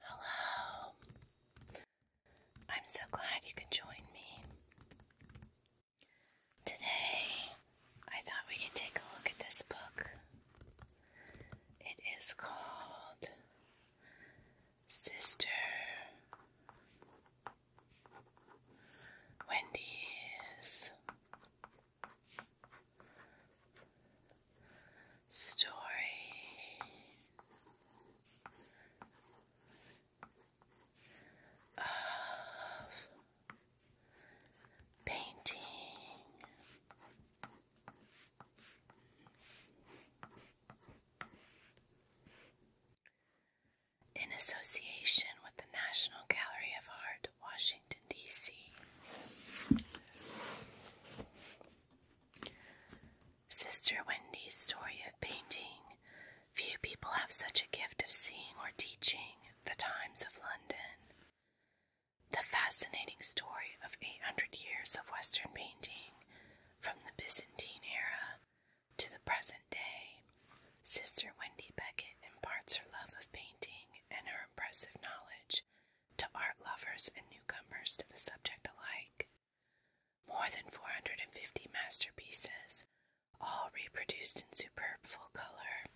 Hello. I'm so glad you could join me. Today, I thought we could take a look at this book. It is called Sister Wendy's story. Of painting. In association with the National Gallery of Art, Washington, D.C. Sister Wendy's story of painting. Few people have such a gift of seeing or teaching the times of London. The fascinating story of 800 years of Western painting from the Byzantine era to the present day. Sister Wendy Beckett imparts her love of painting and her impressive knowledge to art lovers and newcomers to the subject alike. More than 450 masterpieces, all reproduced in superb full color,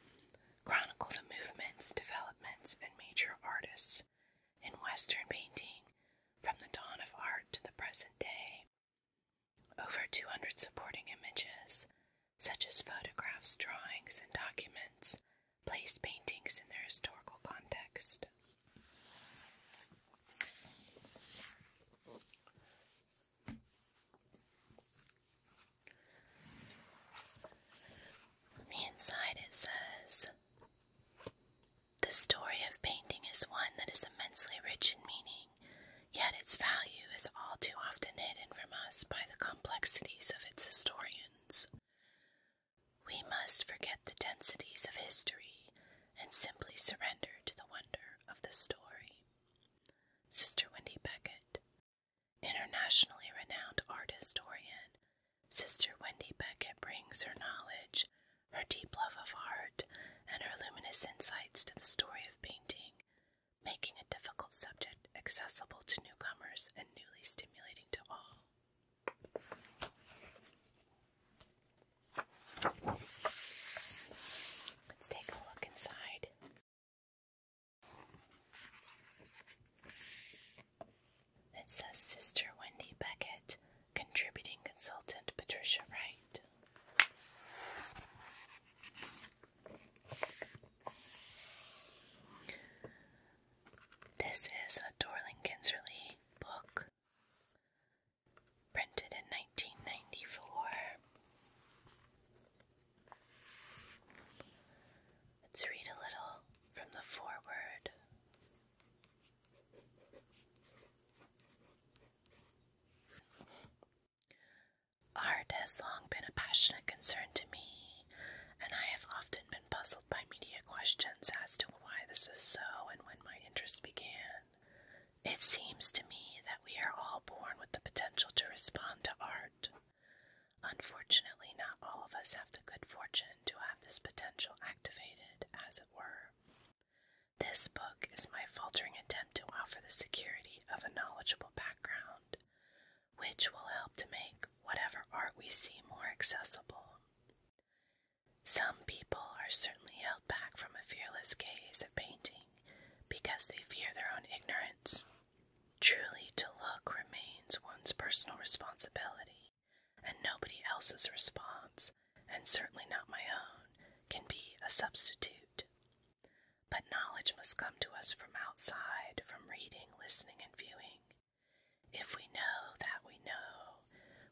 chronicle the movements, developments, and major artists in Western painting from the dawn of art to the present day. Over 200 supporting images, such as photographs, drawings, and documents, Place paintings in their historical context. On the inside, it says The story of painting is one that is immensely rich in meaning, yet its value is all too often hidden from us by the complexities of its historians. We must forget the densities of history and simply surrender to the wonder of the story. Sister Wendy Beckett, internationally renowned art historian, Sister Wendy Beckett brings her knowledge, her deep love of art, and her luminous insights to the story of painting, making a difficult subject accessible to newcomers and newly stimulating to all. Let's take a look inside. It says Sister Wendy Beckett, contributing consultant Patricia Wright. This is a Dorling Kinserly book printed in 1994. Let's read a little from the foreword. Art has long been a passionate concern to me, and I have often been puzzled by media questions as to why this is so and when my interest began. It seems to me that we are all born with the potential to respond to art. Unfortunately, not all of us have the good fortune to have this potential activated, as it were. This book is my faltering attempt to offer the security of a knowledgeable background, which will help to make whatever art we see more accessible. Some people are certainly held back from a fearless gaze at painting because they fear their own ignorance. Truly, to look remains one's personal responsibility, and nobody else's response, and certainly not my own, can be a substitute. But knowledge must come to us from outside, from reading, listening, and viewing. If we know that we know,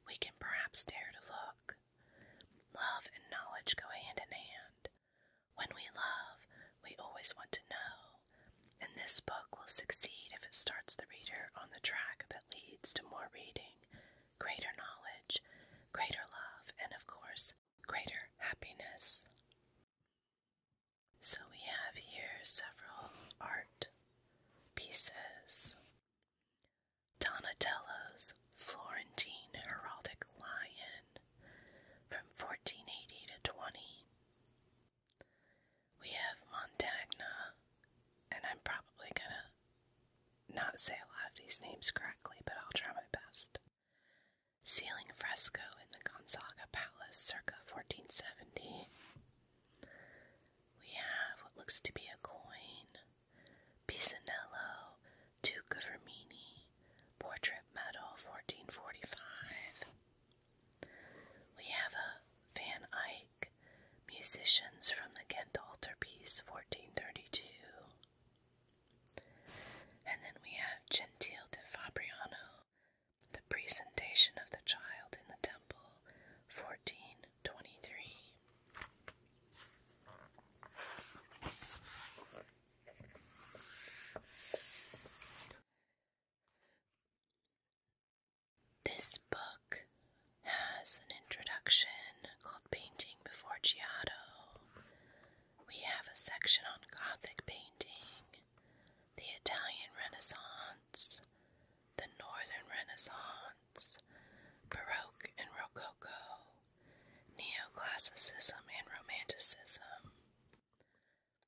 we can perhaps dare to look. Love and knowledge go hand in hand. When we love, we always want to know, and this book will succeed if it starts the reader on the track that leads to more reading, greater knowledge, greater love, and of course, greater happiness. So we have here several art pieces. Donatello's Florentine Heraldic Lion from 1480 to 20. We have Montagna, and I'm probably gonna not say a lot of these names correctly, but I'll try my best. Ceiling fresco in the Gonzaga Palace circa 1470. We have what looks to be a coin, Pisanello, Duke of Rimini, portrait medal 1445. We have a Van Eyck, musicians from the Ghent altarpiece 1432. And then we have Gentile de Fabriano, the presentation of the child in the temple 14 twenty-three. This book has an introduction called Painting Before Giotto. We have a section on Gothic painting, the Italian Renaissance the Northern Renaissance, Baroque and Rococo, Neoclassicism and Romanticism,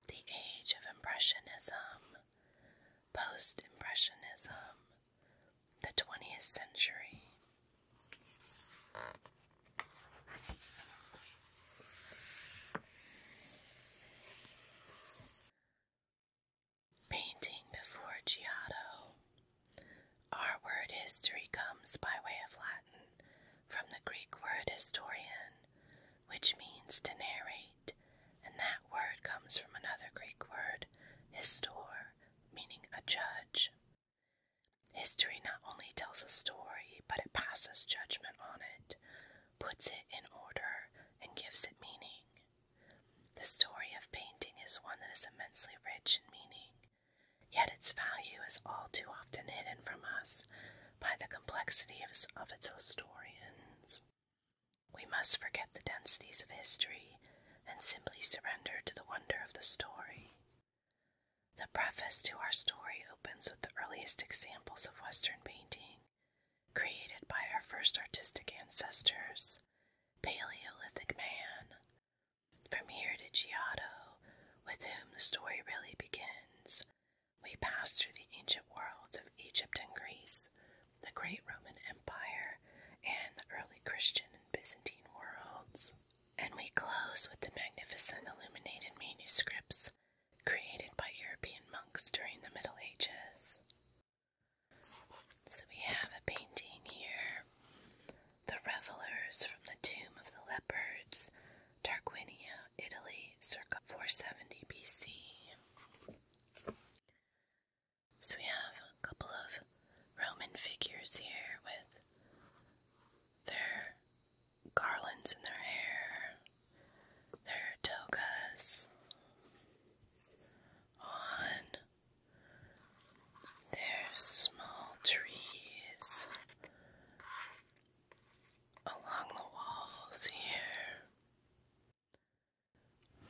the Age of Impressionism, Post Impressionism, the 20th century. Painting before Giotto. Our word history comes by way of Latin from the Greek word historian, which means to narrate, and that word comes from another Greek word, histor, meaning a judge. History not only tells a story, but it passes judgment on it, puts it in order, and gives it meaning. The story of painting is one that is immensely rich in meaning, yet its value is all too often hidden from us by the complexity of its historians. We must forget the densities of history and simply surrender to the wonder of the story. The preface to our story opens with the earliest examples of Western painting created by our first artistic ancestors, Paleolithic man. From here to Giotto, with whom the story really begins, we pass through the ancient worlds of Egypt and Greece, the great Roman Empire, and the early Christian and Byzantine worlds. And we close with the magnificent illuminated manuscripts created by European monks during the Middle Ages. So we have a painting here. The Revelers from the Tomb of the Leopards, Tarquinia, Italy, circa 470 BC. So we have a couple of Roman figures here with their garlands in their hair, their togas on. There's small trees along the walls here.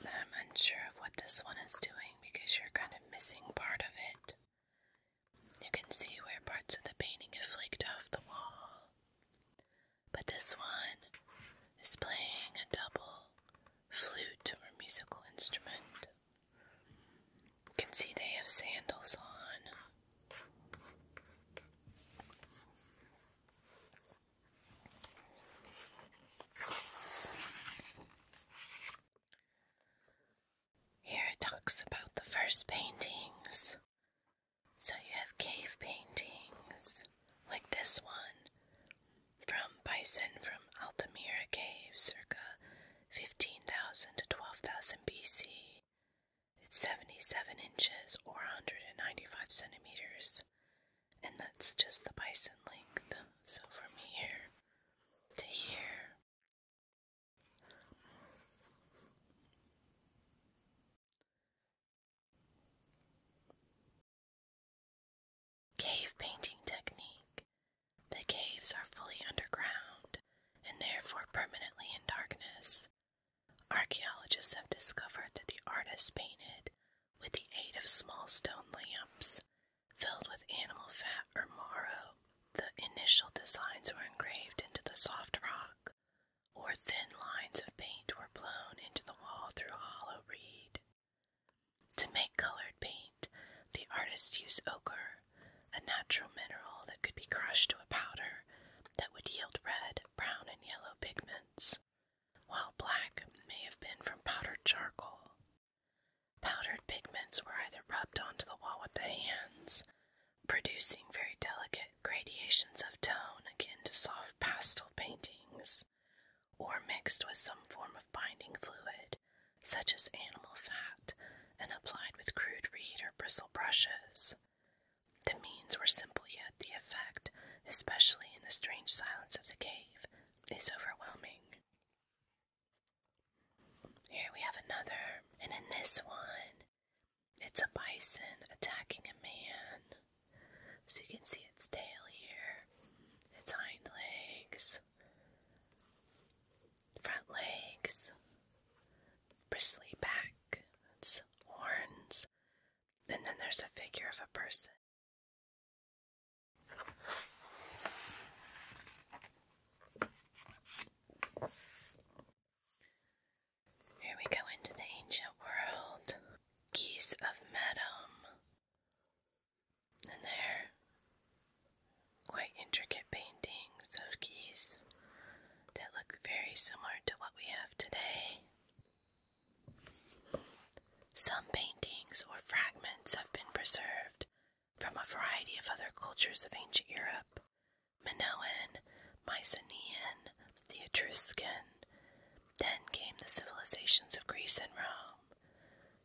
I'm unsure of what this one is doing because you're kind of missing part of it. You can see where parts of the painting have flaked off the wall. But this one is playing a double flute or musical instrument. You can see they have sandals on. Here it talks about the first paintings. So you have cave paintings like this one from bison from Altamira Cave circa 15,000 to 12,000 BC. It's 77 inches or 195 centimeters, and that's just the bison length. So from here to here. Cave painting technique. The caves are fully underground and therefore permanently in darkness. Archaeologists have discovered that the artists painted with the aid of small stone lamps filled with animal fat or marrow. The initial designs were engraved into the soft rock, or thin lines of paint were blown into the wall through a hollow reed. To make colored paint, the artists used ochre, a natural mineral that could be crushed to a powder that would yield red, brown, and yellow pigments, while black may have been from powdered charcoal. Powdered pigments were either rubbed onto the wall with the hands, producing very delicate gradations of tone akin to soft pastel paintings, or mixed with some form of binding fluid, such as animal fat, and applied with crude reed or bristle brushes. The means were simple, yet the effect, especially in the strange silence of the cave, is overwhelming. Here we have another, and in this one, it's a bison attacking a man. So you can see its tail here, its hind legs, front legs, bristly back, horns, and then there's a figure of a person. Here we go into the ancient world. Geese of Medum and they're quite intricate paintings of geese that look very similar to what we have today. Some paintings or fragments have been preserved from a variety of other cultures of ancient Europe Minoan, Mycenaean, the Etruscan. Then came the civilizations of Greece and Rome.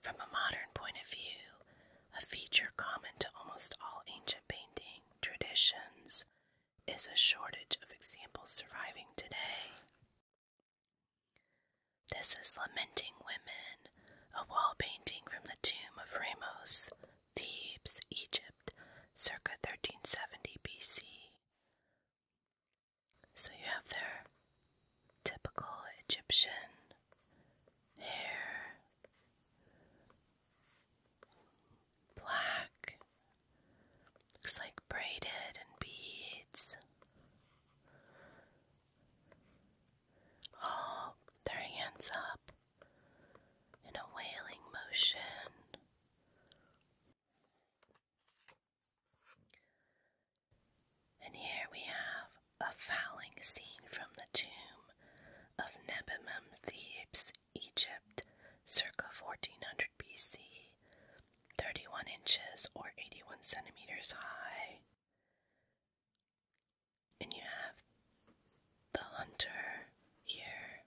From a modern point of view, a feature common to almost all ancient painting traditions is a shortage of examples surviving today. This is Lamenting Women, a wall painting from the tomb of Ramos, Thebes, Egypt, circa 1370 BC. So you have their typical Egyptian hair, black, looks like braided and beads. All their hands up in a wailing motion. And here we have a fowling scene from the tomb of Nebamim Thebes, Egypt, circa 1400 BC, 31 inches or 81 centimeters high. And you have the hunter here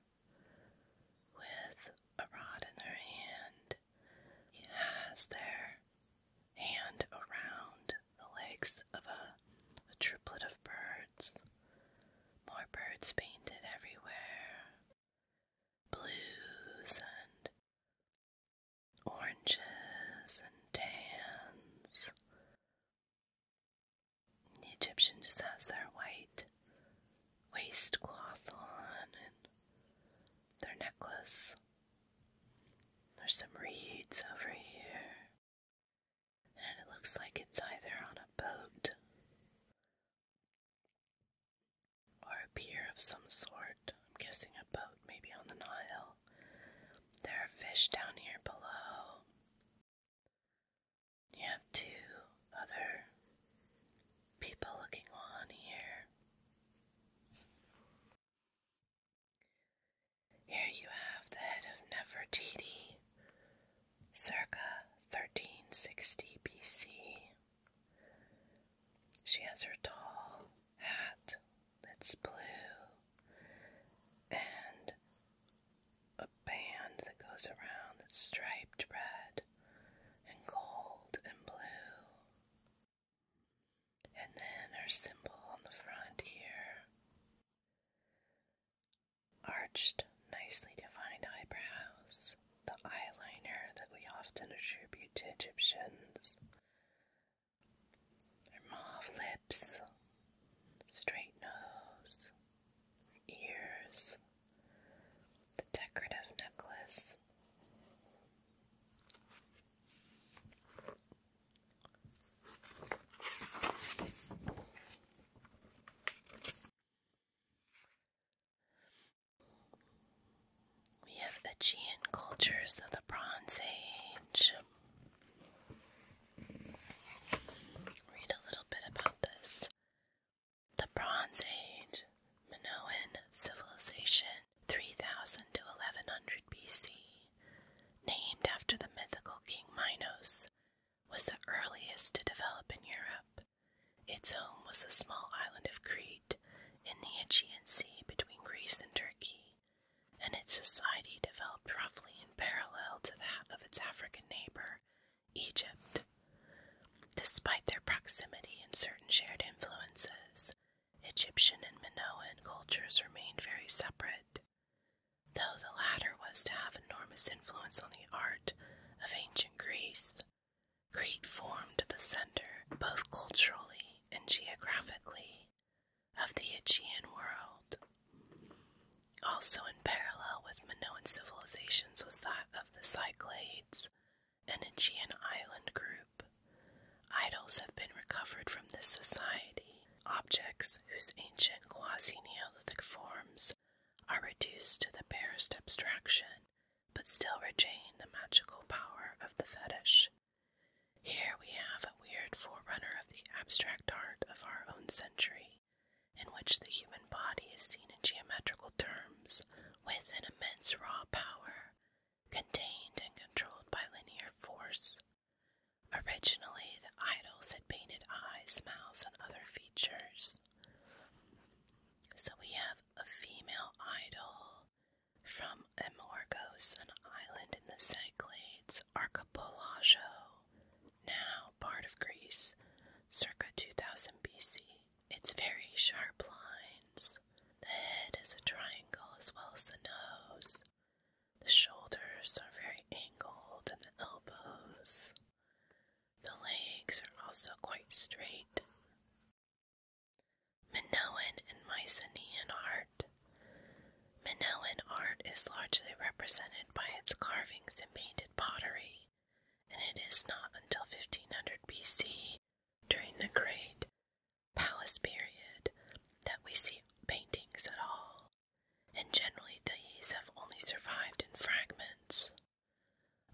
with a rod in her hand. He has their and around the legs of a, triplet of birds. More birds painted everywhere. Blues and oranges and tans. The Egyptian just has their white waist cloth on and their necklace there's some reeds over here, and it looks like it's either on a boat or a pier of some sort. I'm guessing a boat, maybe on the Nile. There are fish down here below. You have two other people looking on here. Here you have the head of Nefertiti, circa 1360 BC. She has her tall hat that's blue and a band that goes around that's striped red and gold and blue and then her symbol on the front here. Arched, nicely defined eyebrows, the eyeliner that we often attribute to Egyptians, her mauve lips, straight nose, ears, the decorative necklace. We have Aegean cultures of the Bronze Age. Read a little bit about this. The Bronze Age, Minoan civilization, 3000 to 1100 BC, named after the mythical King Minos, was the earliest to develop in Europe. Its home was the small island of Crete in the Aegean Sea between Greece and Turkey, and its society developed roughly in parallel to that of its African neighbor, Egypt. Despite their proximity and certain shared influences, Egyptian and Minoan cultures remained very separate, though the latter was to have enormous influence on the art of ancient Greece. Crete formed the center, both culturally and geographically, of the Aegean world. Also, in parallel with Minoan civilizations was that of the Cyclades, an Aegean island group. Idols have been recovered from this society. Objects whose ancient quasi Neolithic forms are reduced to the barest abstraction, but still retain the magical power of the fetish. Here we have a weird forerunner of the abstract art of our own century, in which the human body is seen in geometrical terms with an immense raw power, contained and controlled by linear force Originally, the idols had painted eyes, mouths, and other features. So we have a female idol from Amorgos, an island in the Cyclades archipelago, now part of Greece, circa 2000 BC. Its very sharp lines. The head is a triangle as well as the nose. The shoulders are very angled and the elbows. The legs are also quite straight. Minoan and Mycenaean art. Minoan art is largely represented by its carvings and painted pottery, and it is not until 1500 BC, during the great palace period that we see paintings at all, and generally these have only survived in fragments.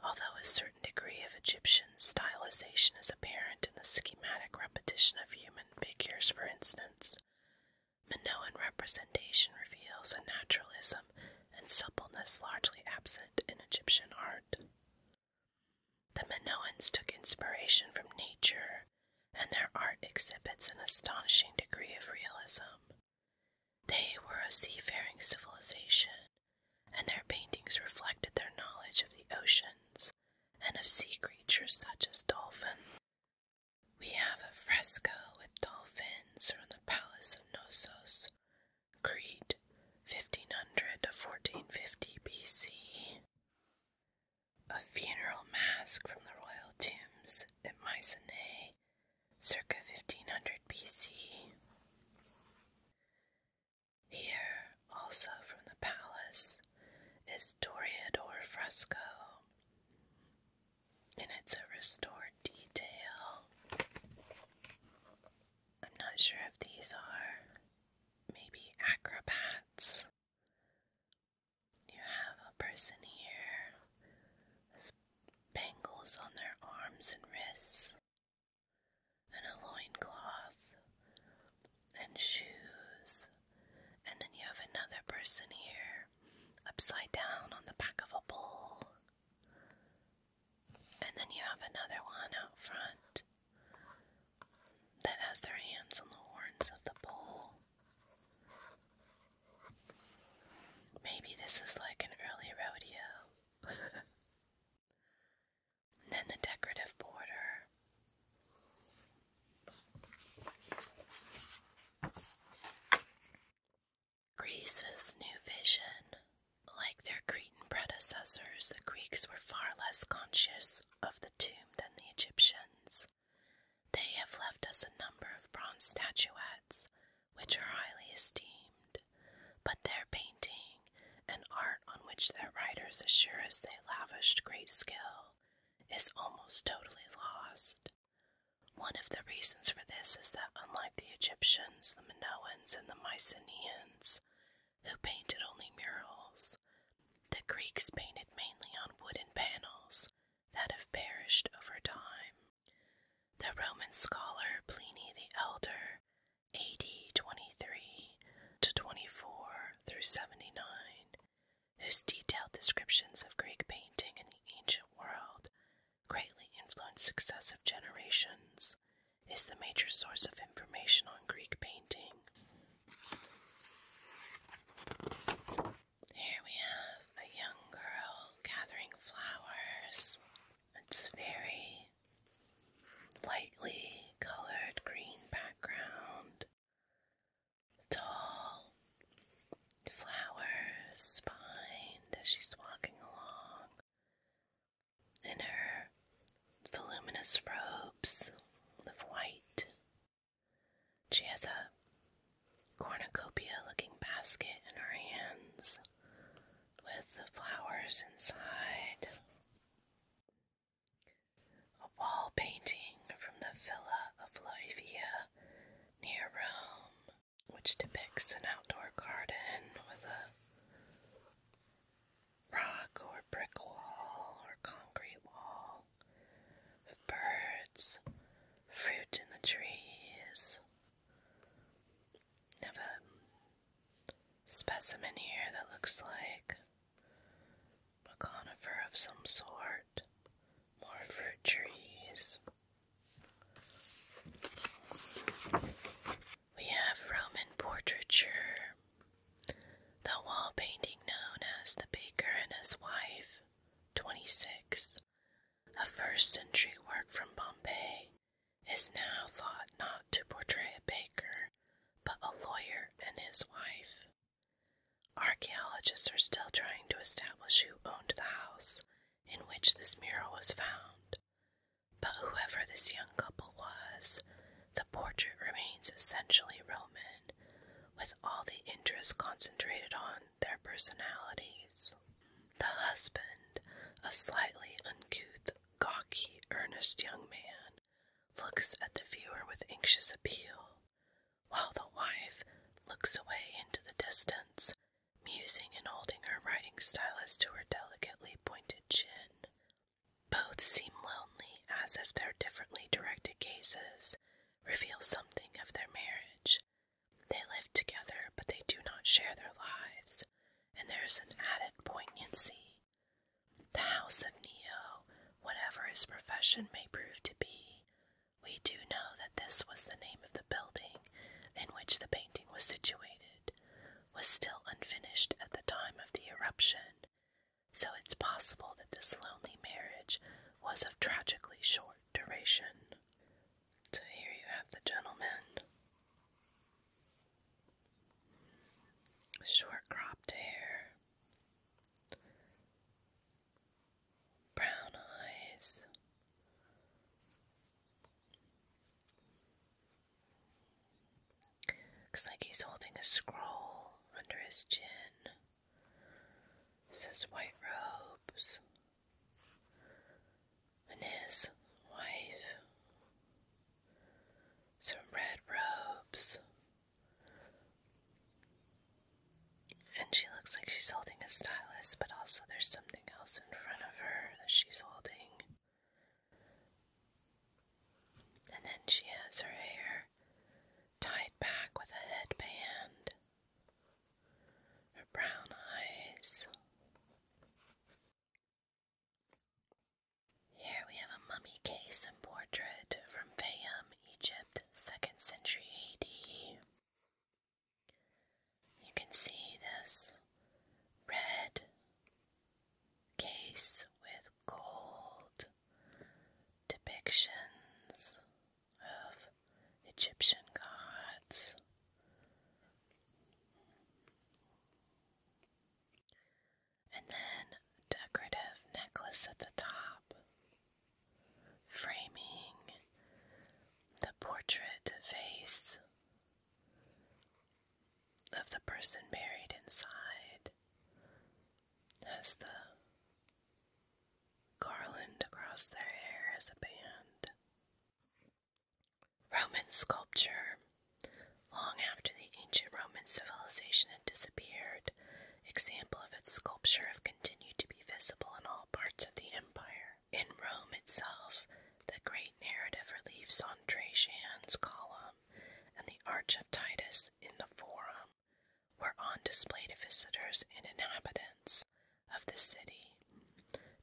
Although a certain degree of Egyptian stylization is apparent in the schematic repetition of human figures, for instance, Minoan representation reveals a naturalism and suppleness largely absent in Egyptian art. The Minoans took inspiration from nature and their art exhibits an astonishing degree of realism. They were a seafaring civilization, and their paintings reflected their knowledge of the oceans and of sea creatures such as dolphins. We have a fresco with dolphins from the Palace of Knossos, Crete, 1500 to 1450 BC. A funeral mask from the royal tombs at Mycenae, circa 1500 BC. Here, also from the palace, is Toreador fresco, and it's a restored detail. I'm not sure if these are maybe acrobats you have a person here with bangles on their arms and wrists, and a loin cloth and shoes. And then you have another person here, upside down on the back of a bull. And then you have another one out front that has their hands on the horns of the bull. Maybe this is like an early rodeo. then the decorative border. Greece's new vision. Like their Cretan predecessors, the Greeks were far less conscious of the tomb than the Egyptians. They have left us a number of bronze statuettes, which are highly esteemed, but their painting, an art on which their writers assure us they lavished great skill, is almost totally lost. One of the reasons for this is that, unlike the Egyptians, the Minoans, and the Mycenaeans, who painted only murals, the Greeks painted mainly on wooden panels that have perished over time. The Roman scholar Pliny the Elder, AD 23 to 24 through 79, whose detailed descriptions of Greek painting in the ancient world greatly influenced successive generations, is the major source of information on Greek painting. Here we have a young girl gathering flowers. It's very lightly colored green background. Tall flowers behind as she's walking along. In her voluminous robes of white she has a cornucopia looking basket in her hands with flowers inside. A wall painting from the Villa of Livia near Rome, which depicts an outdoor garden with a rock or brick wall or concrete wall birds, fruit in the trees. have a specimen here that looks like a conifer of some sort. More fruit trees. We have Roman portraiture, the wall painting known as The Baker and His Wife, 26, a first century work from Pompeii, is now thought not to portray a baker, but a lawyer and his wife. Archaeologists are still trying to establish who owned the house in which this mural was found, but whoever this young couple was, the portrait remains essentially Roman, with all the interest concentrated on their personalities. The husband, a slightly uncouth, gawky, earnest young man, looks at the viewer with anxious appeal, while the wife looks away into the distance, musing and holding her writing stylus to her delicately pointed chin. Both seem lonely, as if their differently directed gazes reveal something of their marriage. They live together, but they do not share their lives, and there is an added poignancy. The house of Neo, whatever his profession may prove to be, we do know that this was the name of the building in which the painting was situated, was still unfinished at the time of the eruption, so it's possible that this lonely marriage was of tragically short duration. So here you have the gentleman. Short cropped hair, brown eyes, looks like he's holding a scroll under his chin says white robes, and his wife, some red robes, and she looks like she's holding a stylus, but also there's something else in front of her that she's holding. And then she has her hair tied back with a headband her brown eyes. Here we have a mummy case and portrait from Fayum, Egypt, 2nd century AD. You can see this red case with gold depictions of Egyptian gods. And then decorative necklace at the top, framing the portrait face of the person buried inside has the garland across their hair as a band. Roman sculpture. Long after the ancient Roman civilization had disappeared, examples of its sculpture have continued to be visible in all parts of the empire. In Rome itself, the great narrative reliefs on Trajan's column and the Arch of Titus in the Forum were on display to visitors and inhabitants of the city.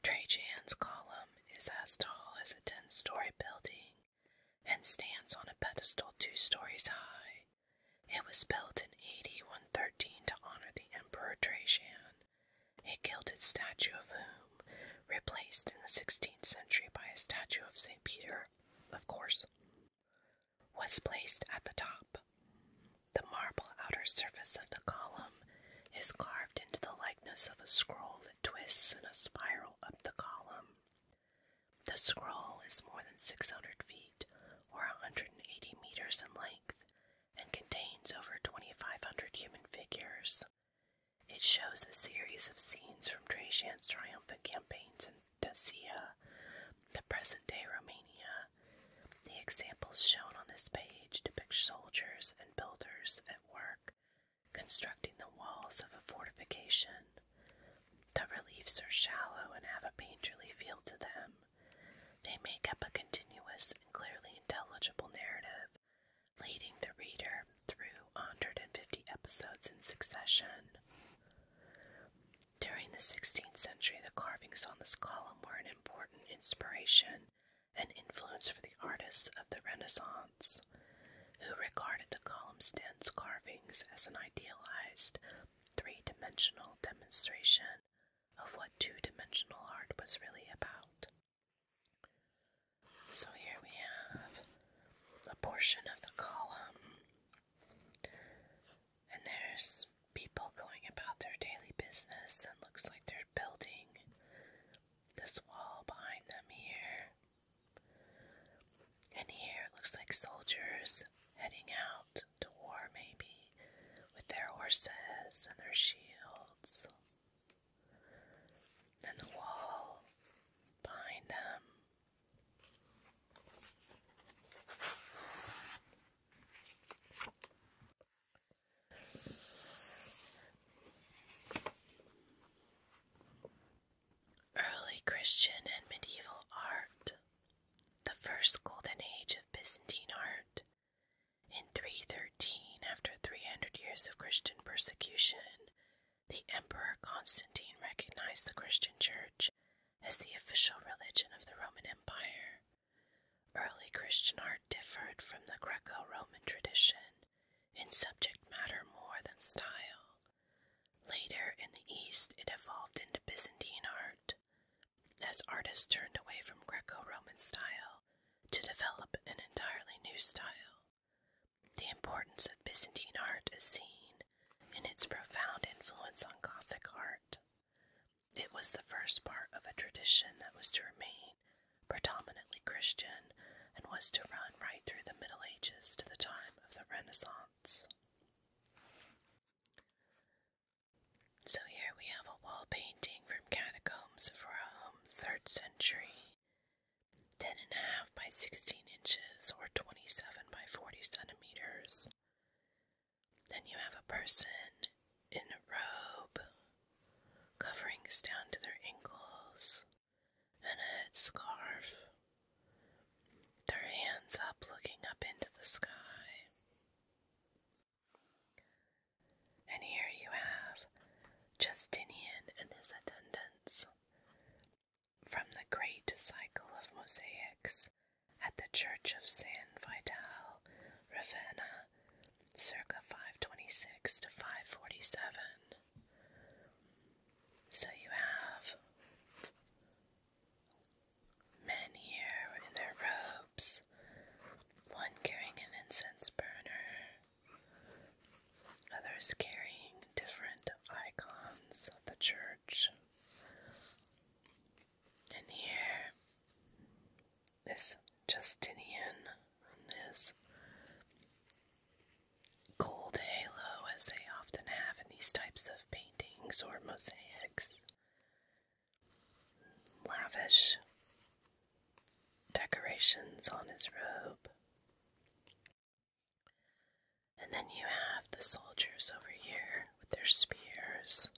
Trajan's column is as tall as a ten story building and stands on a pedestal two stories high. It was built in 8113 to honor the Emperor Trajan, a gilded statue of whom replaced in the 16th century by a statue of St. Peter, of course, was placed at the top. The marble outer surface of the column is carved into the likeness of a scroll that twists in a spiral up the column. The scroll is more than 600 feet or 180 meters in length and contains over 2,500 human figures. It shows a series of scenes from Trajan's triumphant campaigns in Dacia, the present day Romania, the examples shown on this page depict soldiers and builders at work constructing the walls of a fortification. The reliefs are shallow and have a painterly feel to them. They make up a continuous and clearly intelligible narrative, leading the reader through 150 episodes in succession. During the 16th century, the carvings on this column were an important inspiration and influence for the artists of the Renaissance, who regarded the column stands carvings as an idealized three dimensional demonstration of what two dimensional art was really about. So here we have a portion of the column and there's people going about their daily business, and looks like they're building this wall behind them here. And here it looks like soldiers heading out to war, maybe, with their horses and their shields. And the wall behind them. Early Christian and medieval art. The first golden age of Byzantine art. In 313, after 300 years of Christian persecution, the Emperor Constantine recognized the Christian Church as the official religion of the Roman Empire. Early Christian art differed from the Greco Roman tradition in subject matter more than style. Later in the East, it evolved into Byzantine art as artists turned away from Greco Roman style to develop an entirely new style. The importance of Byzantine art is seen in its profound influence on Gothic art. It was the first part of a tradition that was to remain predominantly Christian and was to run right through the Middle Ages to the time of the Renaissance. So here we have a wall painting from Catacombs of Rome, 3rd century, 10 by 16 inches or 27 by 40 centimeters. Then you have a person in a robe, coverings down to their ankles, and a head Their hands up, looking up into the sky. And here you have Justinian and his attendants from the great cycle of mosaics at the Church of San Vitale, Ravenna, circa 526 to 547. So you have men here in their robes, one carrying an incense burner, others carrying different icons of the church. And here this Justinian and this gold halo, as they often have in these types of paintings or mosaics. Lavish decorations on his robe. And then you have the soldiers over here with their spears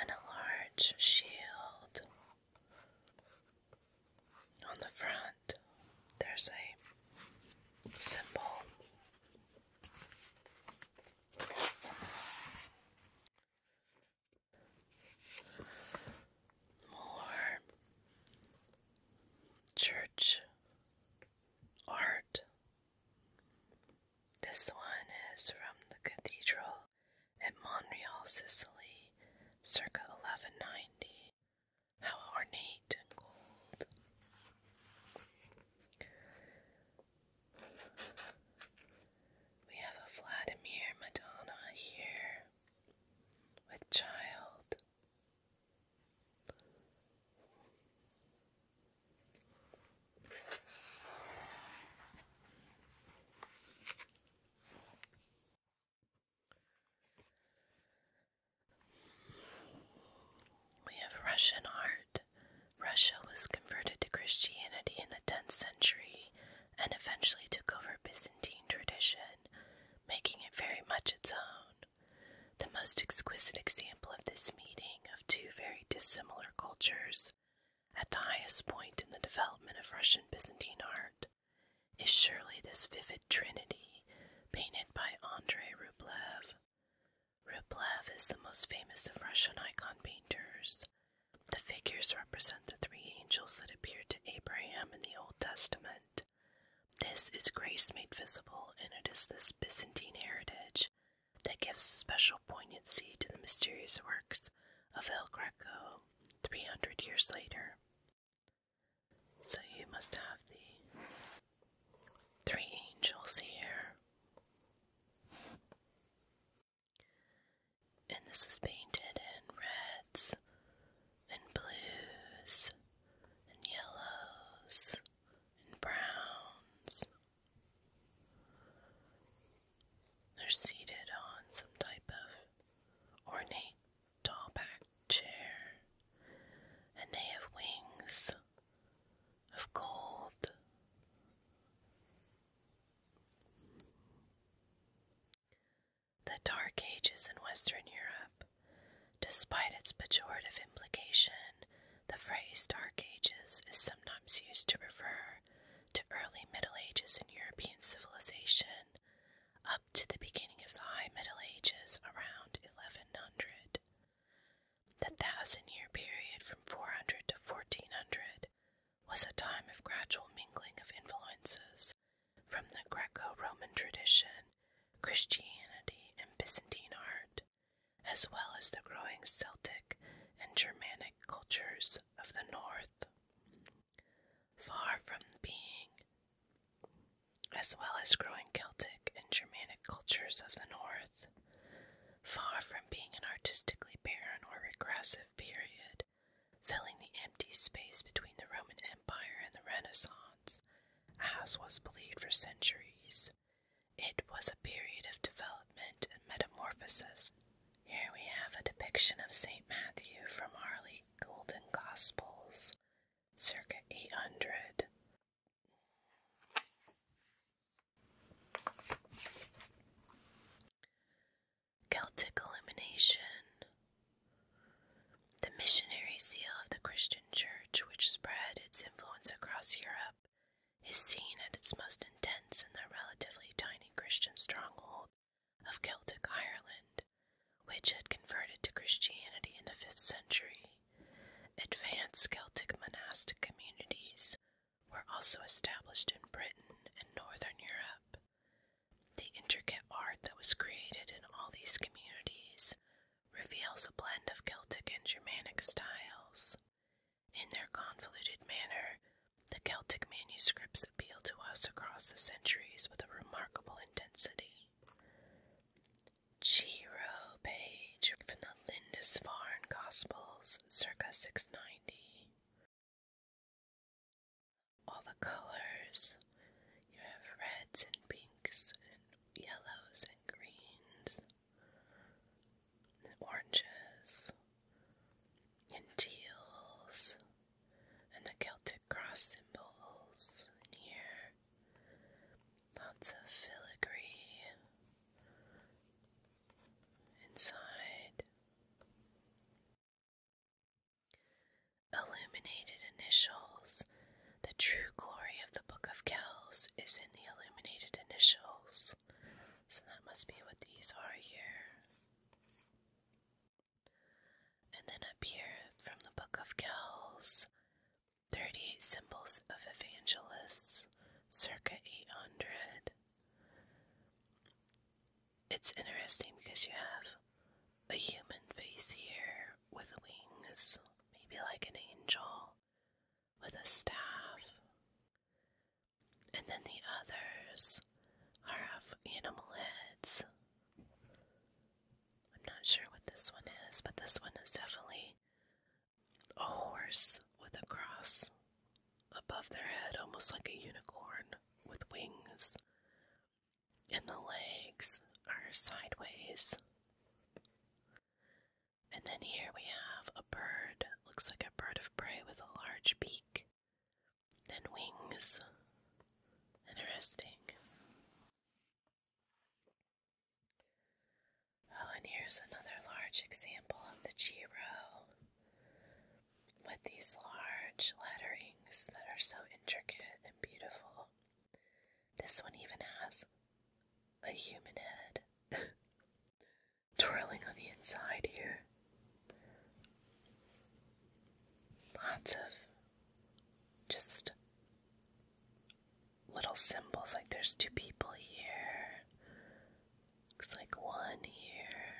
and a large shield. On the front, there's a symbol. More church art. This one is from the cathedral at Montreal, Sicily, circa 1190. How ornate and cold. We have a Vladimir Madonna here with child. We have Russian art. Russia was converted to Christianity in the 10th century and eventually took over Byzantine tradition, making it very much its own. The most exquisite example of this meeting of two very dissimilar cultures at the highest point in the development of Russian Byzantine art, is surely this vivid trinity painted by Andrei Rublev. Rublev is the most famous of Russian icon painters. The figures represent the three angels that appeared to Abraham in the Old Testament. This is grace made visible, and it is this Byzantine heritage that gives special poignancy to the mysterious works of El Greco 300 years later. So you must have the three angels here. And this is painted in reds and blues and yellows and browns. They're seated on some type of ornate tall back chair, and they have wings of gold. The Dark Ages in Western Europe, despite its pejorative implication, the phrase Dark Ages is sometimes used to refer to early Middle Ages in European civilization up to the beginning of the High Middle Ages around 1100. The thousand year period from 400 to 1400 was a time of gradual mingling of influences from the Greco Roman tradition, Christianity, and Byzantine art, as well as the growing Celtic and Germanic cultures of the north. Far from being, as well as growing Celtic and Germanic cultures of the North, far from being an artistically barren or regressive period, filling the empty space between the Roman Empire and the Renaissance, as was believed for centuries, it was a period of development and metamorphosis here we have a depiction of St. Matthew from Harley Golden Gospels, circa 800. Celtic Illumination. The missionary zeal of the Christian Church, which spread its influence across Europe, is seen at its most intense in the relatively tiny Christian stronghold of Celtic Ireland, which had converted to Christianity in the 5th century, advanced Celtic monastic communities were also established in Britain and Northern Europe. The intricate art that was created in all these communities reveals a blend of Celtic and Germanic styles. In their convoluted manner, the Celtic manuscripts appeal to us across the centuries with a remarkable intensity. Chiro Page from the Lindisfarne Gospels, circa 690. All the colors you have reds and pinks and yellows and greens and oranges and teals and the Celtic cross symbols in here. Lots of filigree inside. Illuminated initials. The true glory of the Book of Kells is in the illuminated initials. So that must be what these are here. And then up here from the Book of Kells, 38 symbols of evangelists, circa 800. It's interesting because you have a human face here with wings, maybe like an angel, with a staff and then the others are of animal heads. I'm not sure what this one is, but this one is definitely a horse with a cross above their head, almost like a unicorn with wings. And the legs are sideways. And then here we have a bird, looks like a bird of prey with a large beak and wings. Interesting. Oh, and here's another large example of the Jiro with these large letterings that are so intricate and beautiful. This one even has a human head twirling on the inside here. Lots of just little symbols like there's two people here. Looks like one here.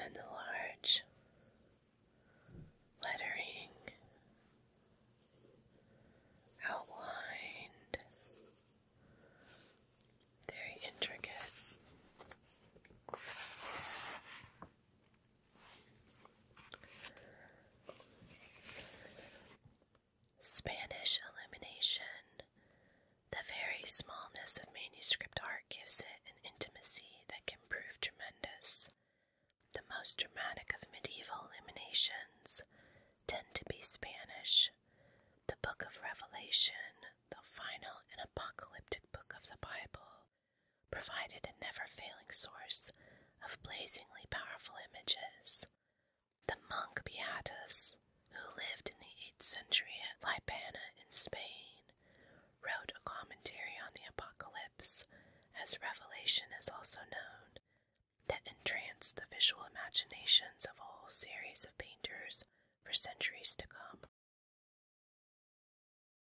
And the large lettering outlined very intricate. Spanish illumination. The very smallness of manuscript art gives it an intimacy that can prove tremendous. The most dramatic of medieval illuminations tend to be Spanish. The Book of Revelation, the final and apocalyptic book of the Bible, provided a never failing source of blazingly powerful images. The monk Beatus, who lived in the 8th century at Libana in Spain, wrote a commentary on the apocalypse, as Revelation is also known, that entranced the visual imaginations of a whole series of painters for centuries to come.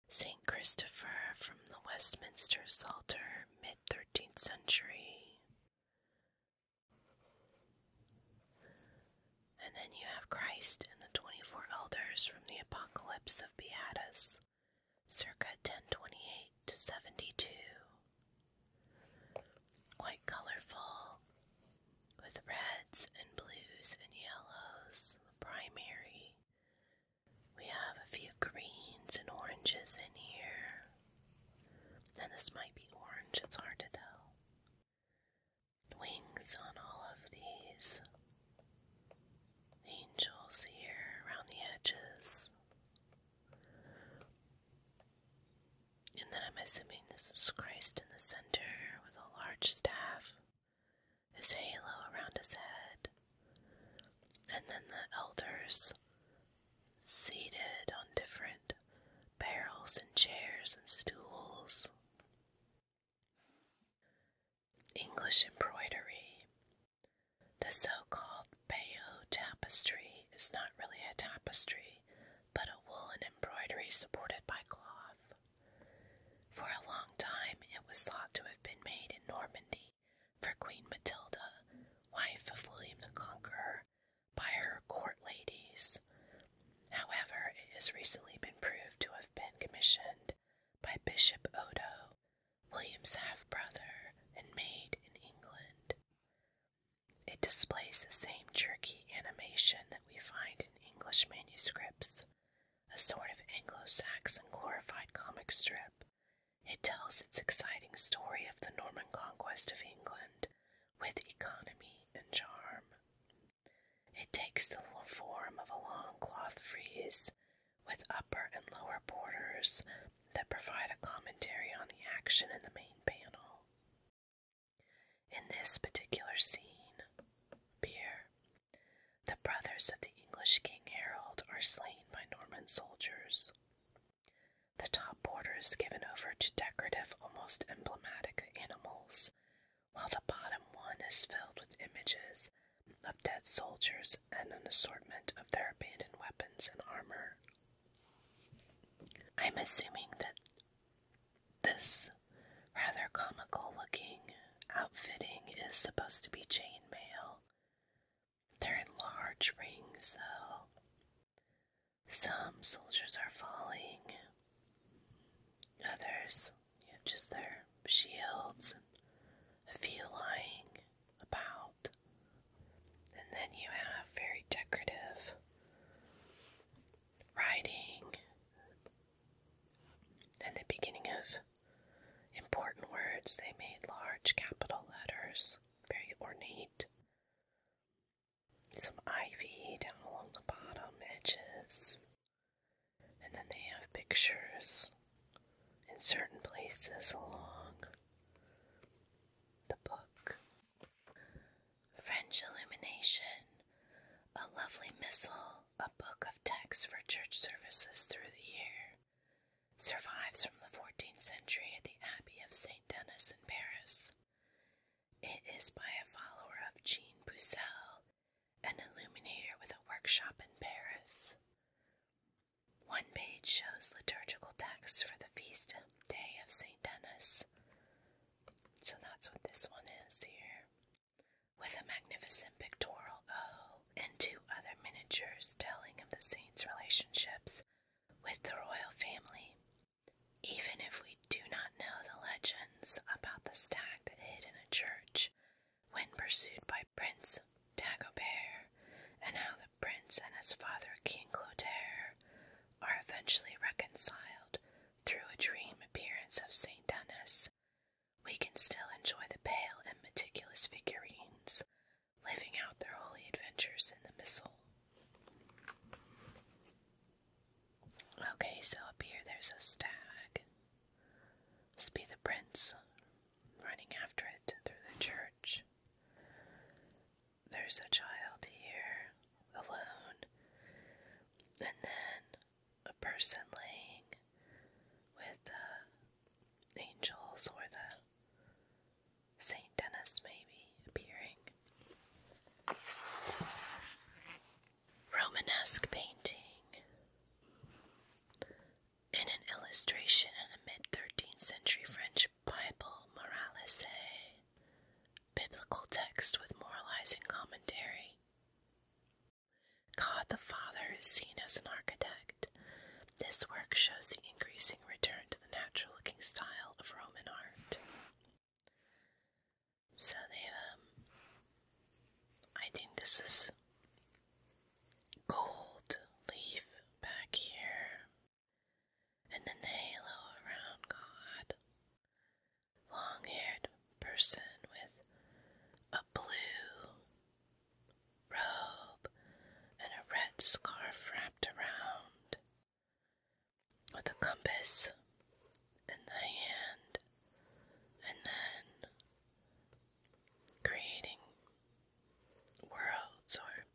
St. Christopher from the Westminster Psalter, mid 13th century. And then you have Christ and the 24 elders from the Apocalypse of Beatus, circa 1028 to 72. Quite colorful, with reds and blues and yellows, primary. We have a few greens and oranges in here. And this might be orange, it's hard to tell. Wings on all of these. Angels here around the edges. And then I'm assuming this is Christ in the center with a large staff, his halo around his head, and then the elders seated on different barrels and chairs and stools. English embroidery. The so called Bayeux tapestry is not really a tapestry, but a woolen embroidery supported by cloth. For a long time, it was thought to have been made in Normandy for Queen Matilda, wife of William the Conqueror, by her court ladies. However, it has recently been proved to have been commissioned by Bishop Odo, William's half brother, and made in England. It displays the same jerky animation we find in English manuscripts, a sort of Anglo Saxon glorified comic strip. It tells its exciting story of the Norman conquest of England with economy and charm. It takes the form of a long cloth frieze with upper and lower borders that provide a commentary on the action in the main panel. In this particular scene, Pierre, the brothers of the English King Harold are slain by Norman soldiers. The top border is given over to decorative, almost emblematic animals, while the bottom one is filled with images of dead soldiers and an assortment of their abandoned weapons and armor. I'm assuming that this rather comical looking outfitting is supposed to be chain mail. They're in large rings, though. Some soldiers are falling, others, you know, just their shields and a few lying about. And then you have very decorative writing. At the beginning of important words, they made large capital letters, very ornate. Some ivy down along the bottom edges. And then they have pictures in certain places along the book. French illumination, a lovely missal a book of texts for church services through the year, survives from the 14th century at the Abbey of St. Denis in Paris. It is by a follower of Jean Boussel, an illuminator with a workshop in Paris. One page shows liturgical texts for the feast day of St. Denis. So that's what this one is here with a magnificent pictorial O and two other miniatures telling of the saints' relationships with the royal family. Even if we do not know the legends about the stag that hid in a church when pursued by Prince Dagobert, and how the prince and his father, King Clotaire, are eventually reconciled through a dream appearance of Saint Denis, we can still enjoy the pale and meticulous figurines living out their holy adventures in the missal. Okay, so up here there's a stag. Must be the prince running after it through the church. There's a child here alone. And then a person laying with the angels or the Saint Denis, maybe appearing. Romanesque painting. In an illustration in a mid 13th century French Bible, Moralise, biblical text with moralizing commentary. God the Father is seen as an architect. This work shows the increasing return to the natural looking style of Roman art. So they, um, I think this is gold leaf back here, and the halo around God long haired person with a blue robe and a red scarf wrapped around, with a compass in the hand, and then creating worlds or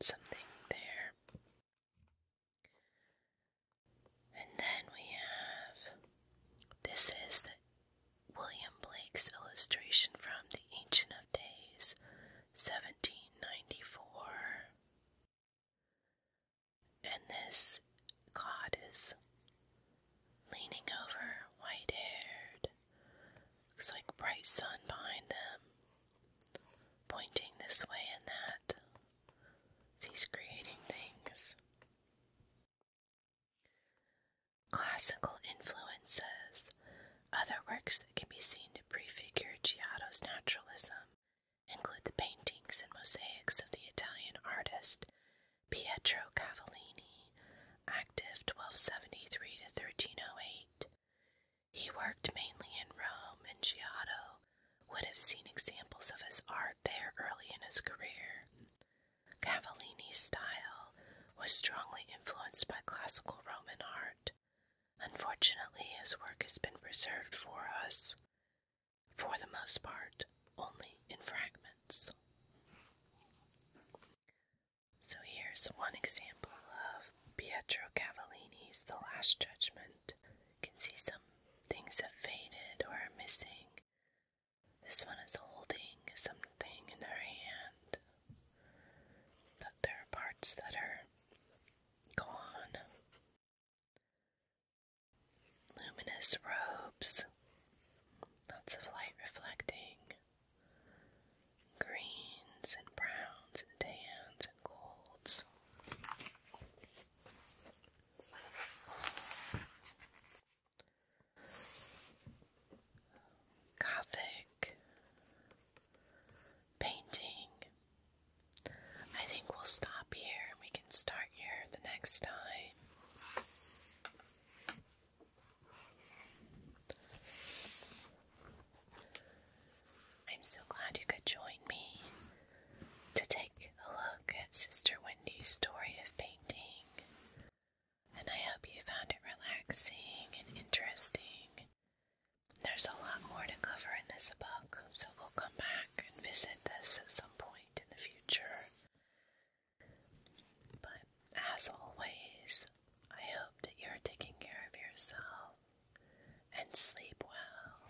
something there. And then we have this is the William Blake's illustration from The Ancient of Days, 1794. And this god is leaning over, white haired. Looks like bright sun behind them, pointing this way and that. He's creating things. Classical influences. Other works that can be seen to prefigure Giotto's naturalism include the paintings and mosaics of the Italian artist Pietro Cavallini, active 1273 1308. He worked mainly in Rome, and Giotto would have seen examples of his art there early in his career. Cavallini's style was strongly influenced by classical Roman art. Unfortunately, his work has been preserved for us, for the most part, only in fragments. So here's one example of Pietro Cavallini's The Last Judgment. You can see some things have faded or are missing. This one is holding something in their hand. That there are parts that are gone. Luminous robes, lots of light reflecting, greens and browns and tans and golds. Gothic painting. I think we'll stop here and we can start here the next time. I'm so glad you could join me to take a look at Sister Wendy's story of painting and I hope you found it relaxing and interesting. There's a lot more to cover in this book, so we'll come back and visit this at some point in the future. But as always, I hope that you're taking care of yourself and sleep well.